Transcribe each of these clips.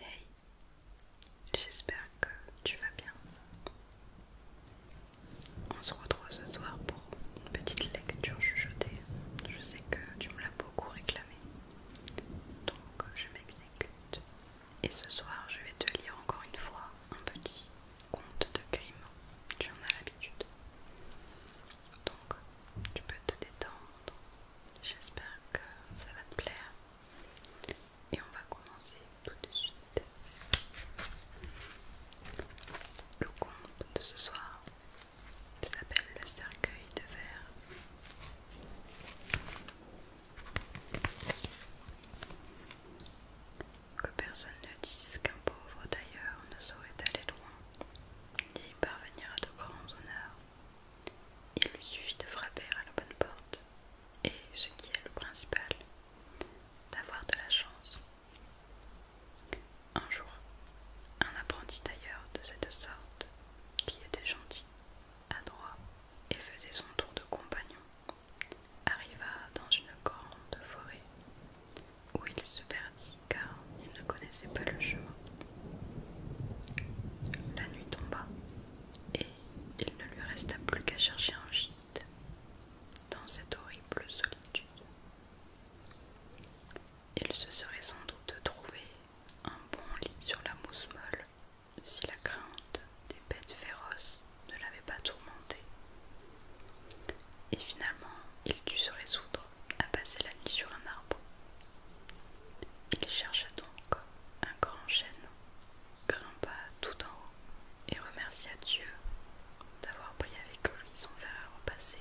Hey, j'espère que tu vas bien. On se retrouve ce soir pour une petite lecture chuchotée. Je sais que tu me l'as beaucoup réclamé, donc je m'exécute. Et ce soir, je vais te lire encore une fois un petit conte de crime. Tu en as l'habitude. Donc, tu peux te détendre, J'espère que ça va te plaire. Et on va commencer tout de suite. Le conte de ce soir s'appelle Le cercueil de verre. Que personne ne dise qu'un pauvre d'ailleurs ne saurait aller loin et parvenir à de grands honneurs. Il lui suffit de frapper à la bonne porte, et ce qui est le principal, d'avoir de la chance. Un jour, un apprenti tailleur de cette sorte, qui était gentil, adroit et faisait son tour de compagnon, arriva dans une grande forêt où il se perdit car il ne connaissait pas le chemin. La nuit tomba et il ne lui resta plus qu'à chercher un gîte dans cette horrible solitude. Il se serait sans doute trouvé un bon lit sur la mousse molle si la crainte des bêtes féroces ne l'avait pas tourmenté. Et finalement, il dut se résoudre à passer la nuit sur un arbre. Il chercha donc un grand chêne, grimpa tout en haut et remercia Dieu d'avoir pris avec lui son fer à repasser,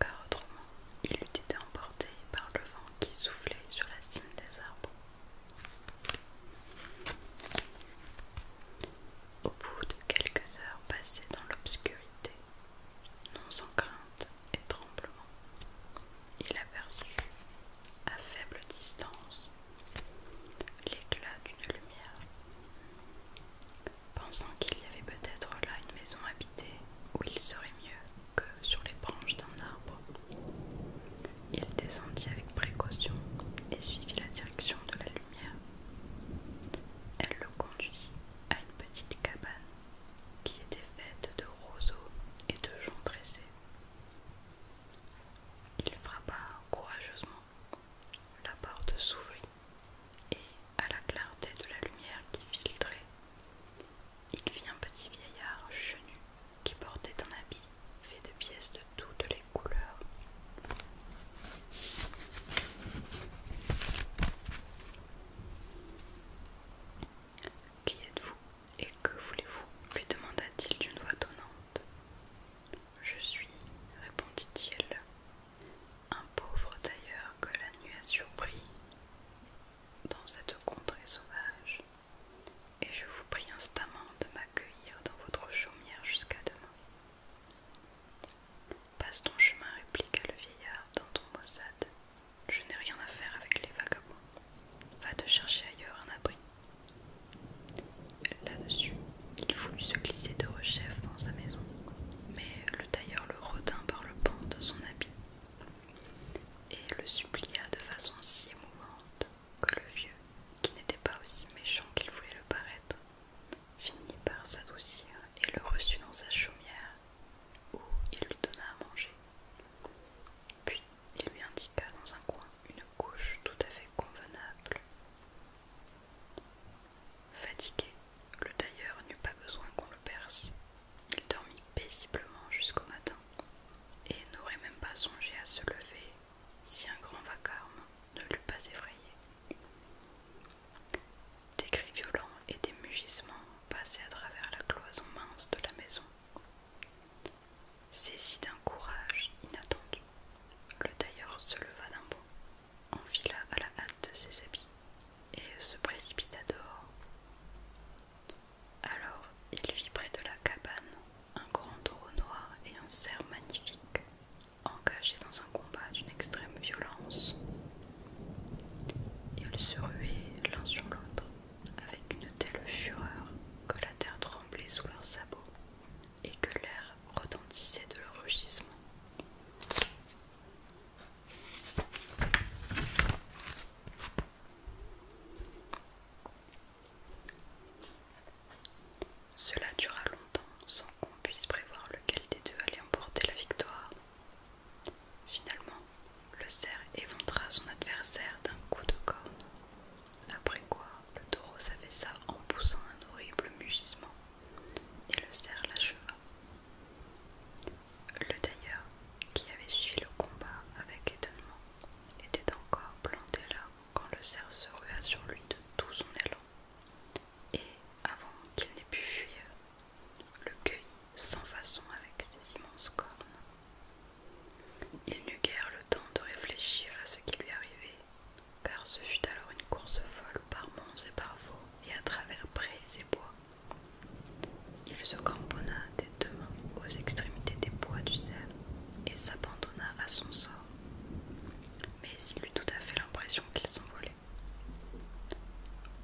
car autrement il eût été emporté par le vent qui soufflait sur la cime des arbres. Au bout de quelques heures passées dans l'obscurité, non sans crainte et tremblement, il aperçut, à faible distance, l'éclat d'une lumière. Pensant qu'il y avait peut-être là une maison habitée où il serait mieux que sur les branches d'un arbre, il descendit avec précaution et suivit la direction de la lumière. Elle le conduisit à une petite cabane qui était faite de roseaux et de joncs tressés. Il frappa courageusement. La porte s'ouvrit et, à la clarté de la lumière qui filtrait, il vit un petit vieillard chenu qui portait un habit fait de pièces de toutes les couleurs. Qui êtes-vous et que voulez-vous lui demanda-t-il d'une voix tonnante. Je suis, répondit-il, un pauvre tailleur que la nuit a surpris dans cette contrée sauvage, et je vous prie instamment de m'accueillir dans votre chaumière jusqu'à demain. Passe ton chemin, répliqua le vieillard dans ton maussade. Je n'ai rien à faire avec les vagabonds. Va te chercher ailleurs un abri. Là-dessus, il voulut se glisser de rechef dans sa maison, mais le tailleur le retint par le pan de son habit et le supplia de façon si émouvante que le vieux, qui n'était pas aussi méchant qu'il voulait le paraître, finit par s'adoucir et le reçut dans sa chaumière où il lui donna à manger. Puis il lui indiqua dans un coin une couche tout à fait convenable. Fatigué, le tailleur n'eut pas besoin qu'on le perce. Il dormit paisiblement jusqu'au matin et n'aurait même pas songé à se lever si un grand vacarme ne l'eût pas effrayé des cris violents et des mugissements passaient à travers la cloison mince de la maison. Saisi d'un courage inattendu, le tailleur se leva d'un bond, enfila à la hâte ses habits et se précipita dehors. Alors il vit près de la cabane un grand taureau noir et un cerf magnifique, engagés dans un combat d'une extrême violence ils se ruaient l'un sur l'autre avec une telle fureur que la terre tremblait sous leurs sabots et que l'air retentissait de leur rugissement. Cela dura longtemps sans qu'on puisse prévoir lequel des deux allait emporter la victoire. Finalement, le cerf éventra son adversaire d'un coup de corne. Après quoi, le taureau s'affaissa en poussant un horrible mugissement, et le cerf l'acheva. Le tailleur, qui avait suivi le combat avec étonnement, était encore planté là quand le cerf se rua sur lui de tout son élan et avant qu'il n'ait pu fuir, le cueillit sans façon avec ses immenses cornes. Il n'eut guère le temps de réfléchir à ce qui lui arrivait, car ce fut alors une course folle par monts et par veaux et à travers prés et bois. Il se cramponna des deux mains aux extrémités des bois du cerf et s'abandonna à son sort. Mais il eut tout à fait l'impression qu'il s'envolait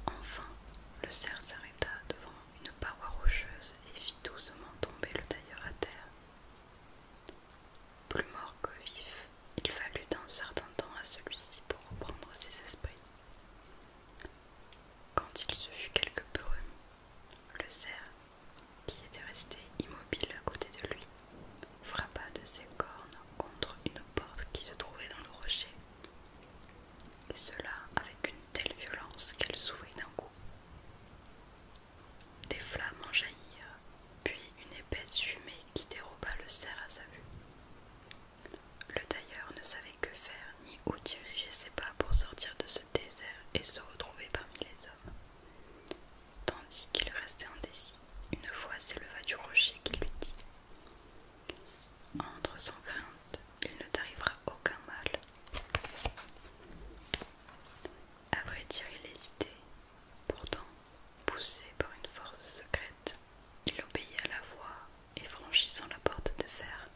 Enfin, le cerf s'arrêta devant une paroi rocheuse et fit doucement tomber le tailleur à terre. Plus mort que vif, il fallut un certain temps à celui-ci pour reprendre ses esprits. Quand il se fut quelque peu remis, le cerf, qui était resté immobile à côté de lui, frappa de ses cornes contre une porte qui se trouvait dans le rocher, et cela avec une telle violence qu'elle s'ouvrit d'un coup. Des flammes en jaillirent, puis une épaisse fumée qui déroba le cerf à sa vue. Le tailleur ne savait que faire ni où diriger ses pas pour sortir de ce désert et se retrouver parmi les hommes. Tandis qu'il restait indécis, une voix s'éleva du rocher qui lui dit entre sans crainte, il ne t'arrivera aucun mal. Après vrai dire, il hésitait. Pourtant, poussé par une force secrète, il obéit à la voix et franchissant la porte de fer,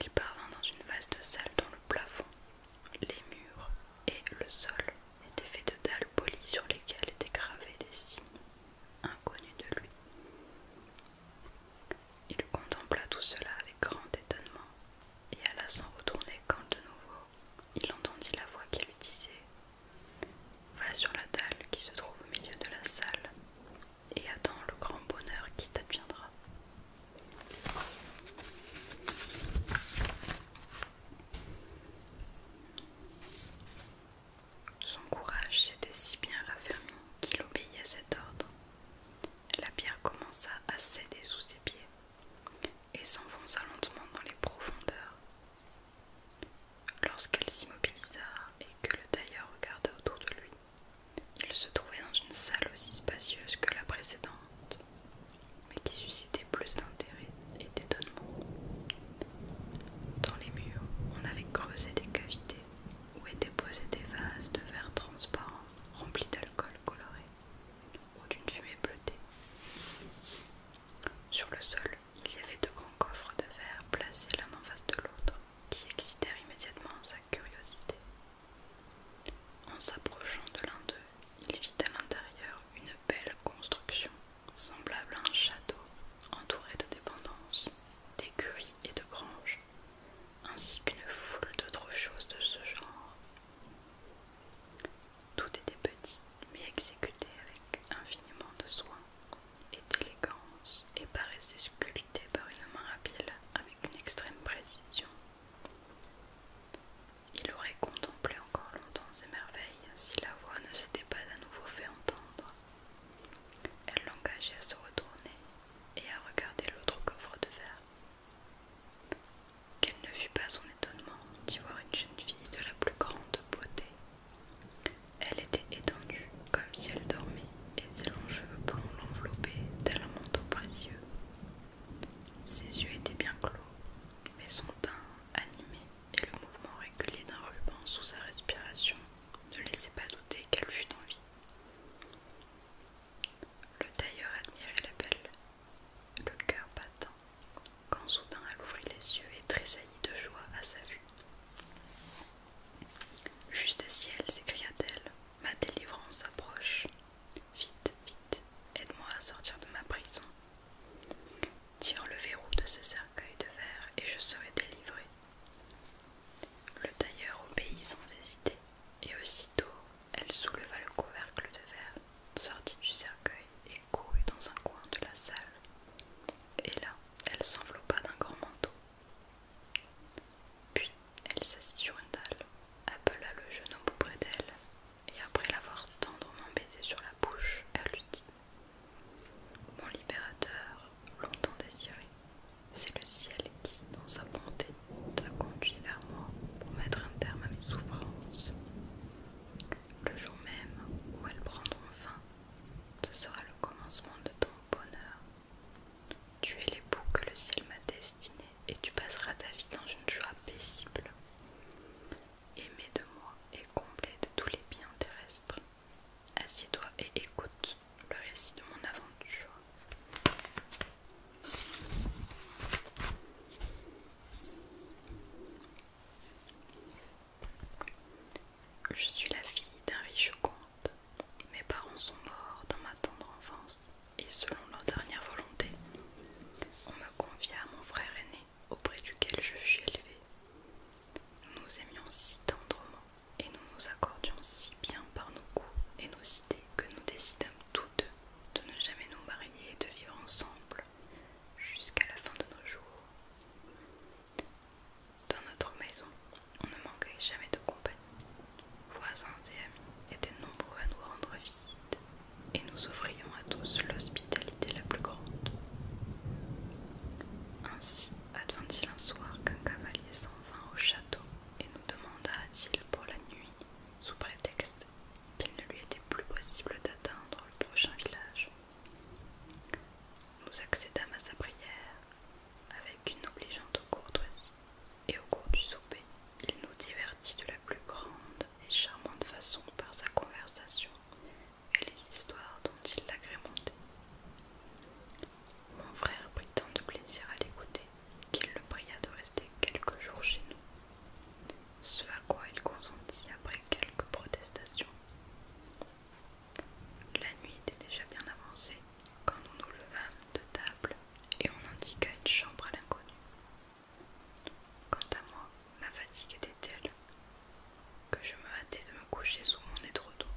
il parvint dans une vaste salle dont le plafond, les murs et le sol était fait de dalles polies sur lesquelles étaient gravés des signes inconnus de lui. Il contempla tout cela avec grand étonnement et alla s'en retourner quand de nouveau il entendit la voix qui lui disait Va sur la dalle qui se trouve au milieu de la salle et attends le grand bonheur qui t'adviendra. Son courage s'était si bien raffermi qu'il obéit à cet ordre. La pierre commença à céder sous ses pieds et s'enfonça lentement dans les profondeurs. Lorsqu'elle s'immobilisa et que le tailleur regarda autour de lui, il se trouvait dans une salle aussi spacieuse que la précédente, mais qui suscitait plus d'intérêt et d'étonnement. Dans les murs, on avait creusé des cavités où étaient posés des vases de verre transparent remplis d'alcool coloré ou d'une fumée bleutée. Sur le sol, il y avait deux grands coffres de verre placés l'un en face de l'autre qui excitèrent immédiatement sa curiosité. En s'approchant de l'un d'eux, il vit à l'intérieur une belle construction semblable à un château entouré de dépendances, d'écuries et de granges, ainsi qu'une foule d'autres choses de ce genre. Tout était petit, mais exécuté avec infiniment de soin et d'élégance, et paraissait sculpté par une main habile avec une extrême précision. Il aurait contemplé encore longtemps ces merveilles si la voix ne s'était pas à nouveau fait entendre. Elle l'engageait à se retourner et à regarder l'autre coffre de verre. Qu'elle ne fut pas son étonnement d'y voir une jeune fille de la plus grande beauté. Elle était étendue comme si elle dormait et ses longs cheveux blonds l'enveloppaient tel manteau précieux. Ses yeux étaient bien clos, mais son teint animé et le mouvement régulier d'un ruban sous sa respiration ne laissait pas douter qu'elle fût en vie. Le tailleur admirait la belle, le cœur battant, quand soudain elle ouvrit les yeux et tressaillit de joie à sa vue. Juste ciel, s'écria-t-elle, ma délivrance approche. Vite, vite, aide-moi à sortir de ma prison Tire le verrou de ce cercueil de verre et je serai délivrée. Le tailleur obéit sans hésiter, et aussitôt elle souleva le couvercle de verre, sortit du cercueil et courut dans un coin de la salle. Et là, elle s'enveloppa d'un grand manteau. Puis elle s'assit sur une dalle, appela le jeune homme auprès d'elle et après l'avoir tendrement baisé sur la bouche, elle lui dit Mon libérateur, longtemps désiré, c'est le ciel qui, dans sa bonté, t'a conduit vers moi pour mettre un terme à mes souffrances. Le jour même où elles prendront fin, ce sera le commencement de ton bonheur. Tu es l'époux que le ciel m'a destiné et tu passeras ta vie dans une joie paisible aimé de moi et complet de tous les biens terrestres. Assieds-toi et écoute le récit de mon aventure. Je suis la fille d'un riche comte. Mes parents sont morts dans ma tendre enfance et selon leur dernière volonté, on me confia à mon frère aîné auprès duquel je fus élevée. Nous nous aimions si tendrement et nous nous accordions si bien par nos goûts et nos idées que nous décidâmes tous deux de ne jamais nous marier et de vivre ensemble jusqu'à la fin de nos jours. Dans notre maison, on ne manquait jamais de compagnie. Voisins et amis étaient nombreux à nous rendre visite et nous offrions à tous l'hospitalité la plus grande. Ainsi advint-il un soir qu'un cavalier s'en vint au château et nous demanda asile pour la nuit, sous prétexte qu'il ne lui était plus possible d'atteindre le prochain village. Nous accédâmes à sa prière avec une obligeante courtoisie, et au cours du souper, il nous divertit de la plus grande et charmante façon par sa conversation et les histoires dont il l'agrémentait. Mon frère prit tant de plaisir à l'écouter qu'il le pria de rester quelques jours chez nous, ce à quoi il consentit après quelques protestations. La nuit était déjà bien avancée quand nous nous levâmes de table et on indiqua une chambre à l'inconnu. Quant à moi, ma fatigue était telle que je me hâtais de me coucher sous mon édredon.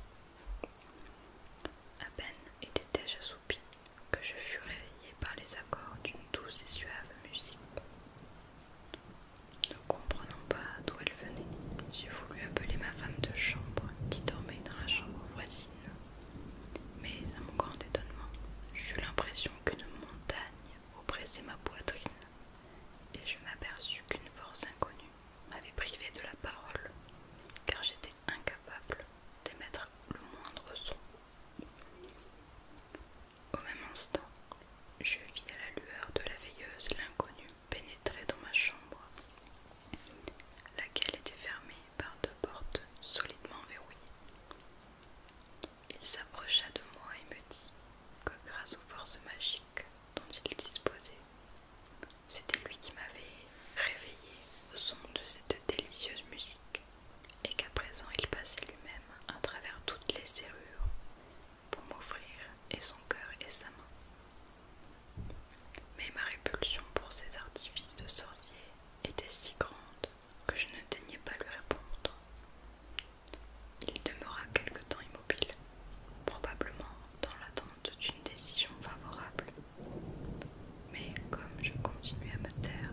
À peine étais-je assoupie que je fus réveillée par les accords d'une douce et suave musique. Ne comprenant pas d'où elle venait, j'ai voulu appeler ma femme de chambre qui dormait dans la chambre voisine. Mais à mon grand étonnement, j'eus l'impression qu'une montagne oppressait ma poitrine, et je m'aperçus qu'une force inconnue m'avait privé de la parole, car j'étais incapable d'émettre le moindre son. Au même instant, je vis à la lueur de la veilleuse l'inconnu pénétrer dans ma chambre, laquelle était fermée par deux portes solidement verrouillées. Il s'approcha de moi et me dit que grâce aux forces magiques dont il disposait, c'était lui qui m'avait réveillé au son de cette délicieuse musique et qu'à présent il passait lui-même à travers toutes les serrures pour m'offrir et son cœur et sa main. Mais ma répulsion pour ces artifices de sorcier était si grande que je ne daignais pas lui répondre. Il demeura quelque temps immobile, probablement dans l'attente d'une décision favorable. Mais comme je continuais à me taire,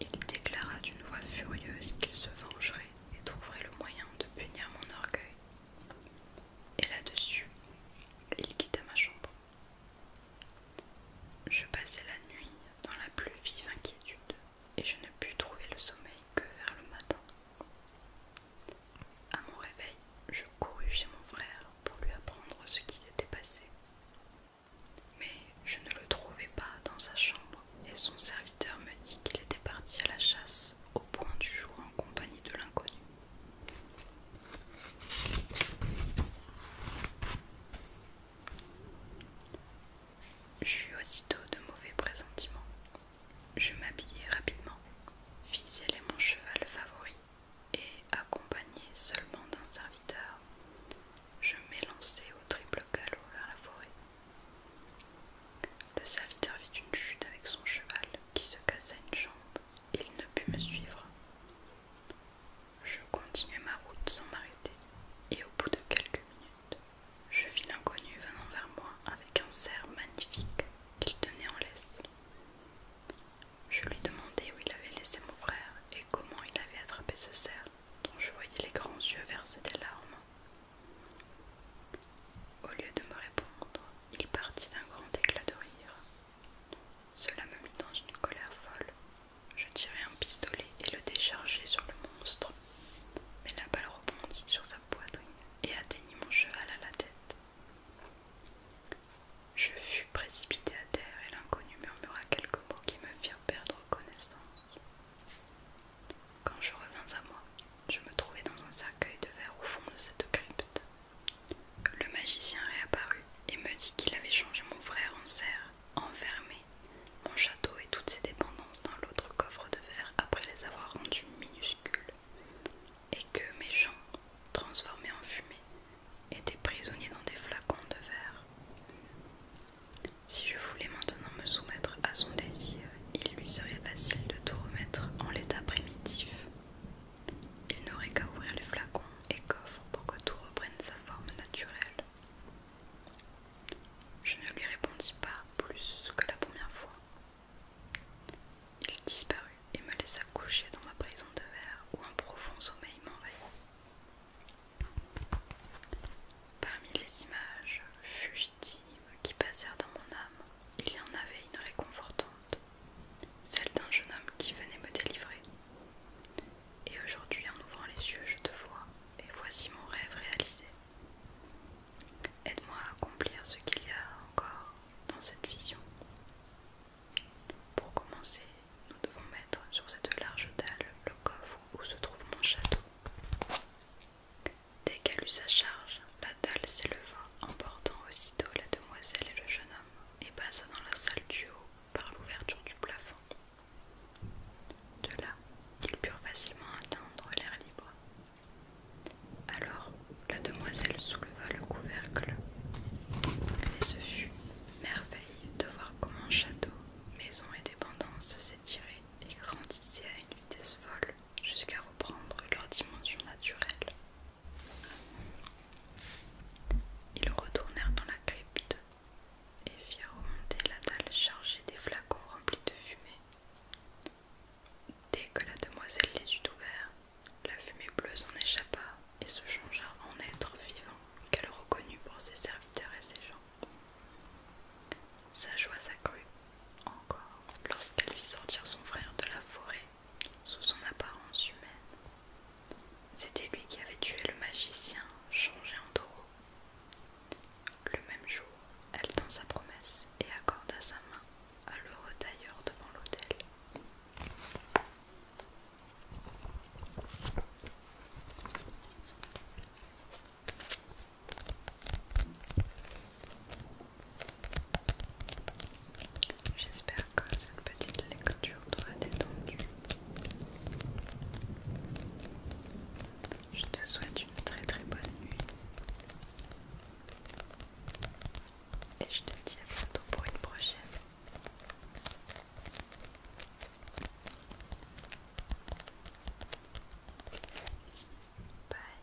il déclara d'une voix furieuse qu'il se vengerait et trouverait le moyen de punir mon orgueil. Et là-dessus, il quitta ma chambre. Je passai la nuit dans la plus vive inquiétude, et je ne pus trouver le sommeil que vers le matin. À mon réveil, je courus chez mon frère pour lui apprendre ce qui s'était passé. Mais je ne le trouvais pas dans sa chambre, et son serviteur me dit qu'il était parti à la chasse au point du jour en compagnie de l'inconnu. J'eus aussitôt de mauvais pressentiments. Je m'habillai rapidement, fis mon cheval favori, et, accompagné seulement d'un serviteur, je m'élançai au triple galop vers la forêt. Le serviteur vit une chute avec son cheval qui se cassa une jambe. Il ne put me suivre. Je continuai ma route sans m'arrêter, et au bout de quelques minutes, je vis l'inconnu venant vers moi avec un cerf magnifique qu'il tenait en laisse. Je lui demandai où il avait laissé mon frère et comment il avait attrapé ce cerf dont je voyais les grands yeux verser des larmes. Au lieu de me répondre, il partit d'un grand éclat de rire. Cela me mit dans une colère folle je tirai un pistolet et le déchargeai sur le monstre, mais la balle rebondit sur sa poitrine et atteignit mon cheval à la tête. Je fus précipité à terre et l'inconnu murmura quelques mots qui me firent perdre connaissance. Quand je revins à moi, je me trouvais dans un cercueil de verre au fond de cette crypte. Le magicien réapparut et me dit qu'il avait changé mon frère en serre, enfermé, mon château et toutes ses dépendances dans l'autre coffre de verre après les avoir rendus minuscules, et que mes gens, transformés en fumée, étaient prisonniers dans des flacons de verre. Si je voulais maintenant me soumettre à son désir, il lui serait facile de tout remettre en l'état primitif. Il n'aurait qu'à ouvrir les flacons et coffre pour que tout reprenne sa forme naturelle. Je ne lui répondis pas plus que la première fois. Il disparut et me laissa coucher dans ma prison de verre où un profond sommeil m'envahit. Parmi les images fugitives qui passèrent dans mon âme, il y en avait une réconfortante, celle d'un jeune homme qui venait me délivrer. Et aujourd'hui, en ouvrant les yeux, je te vois, et voici mon rêve réalisé. Aide-moi à accomplir ce qu'il y a encore dans cette vision. Pour commencer, nous devons mettre sur cette large dalle le coffre où se trouve mon château. Dès qu'elle eut sa charge, la dalle s'éleva, emportant aussitôt la demoiselle et le jeune homme, et passa dans la salle du haut par l'ouverture du plafond. De là, ils purent facilement atteindre l'air libre. Alors, la demoiselle souleva le couvercle. Et ce fut merveille de voir comment château, maison et dépendances s'étiraient et grandissaient à une vitesse folle jusqu'à reprendre leur dimension naturelle. Ils retournèrent dans la crypte et firent remonter la dalle chargée des flacons remplis de fumée. Dès que la demoiselle les eut ouverts, la fumée bleue s'en échappa et se changea en être vivant qu'elle reconnut pour ses serviteurs et ses gens. Sa joie s'accrut encore lorsqu'elle vit sortir son frère de la forêt sous son apparence humaine. C'était lui qui avait tué le magicien changé en taureau. Le même jour, elle tint sa promesse et accorda sa main à l'heureux tailleur devant l'autel. J'espère que cette petite lecture t'aura détendu. Je te souhaite une très très bonne nuit. Et je te dis à bientôt pour une prochaine. Bye.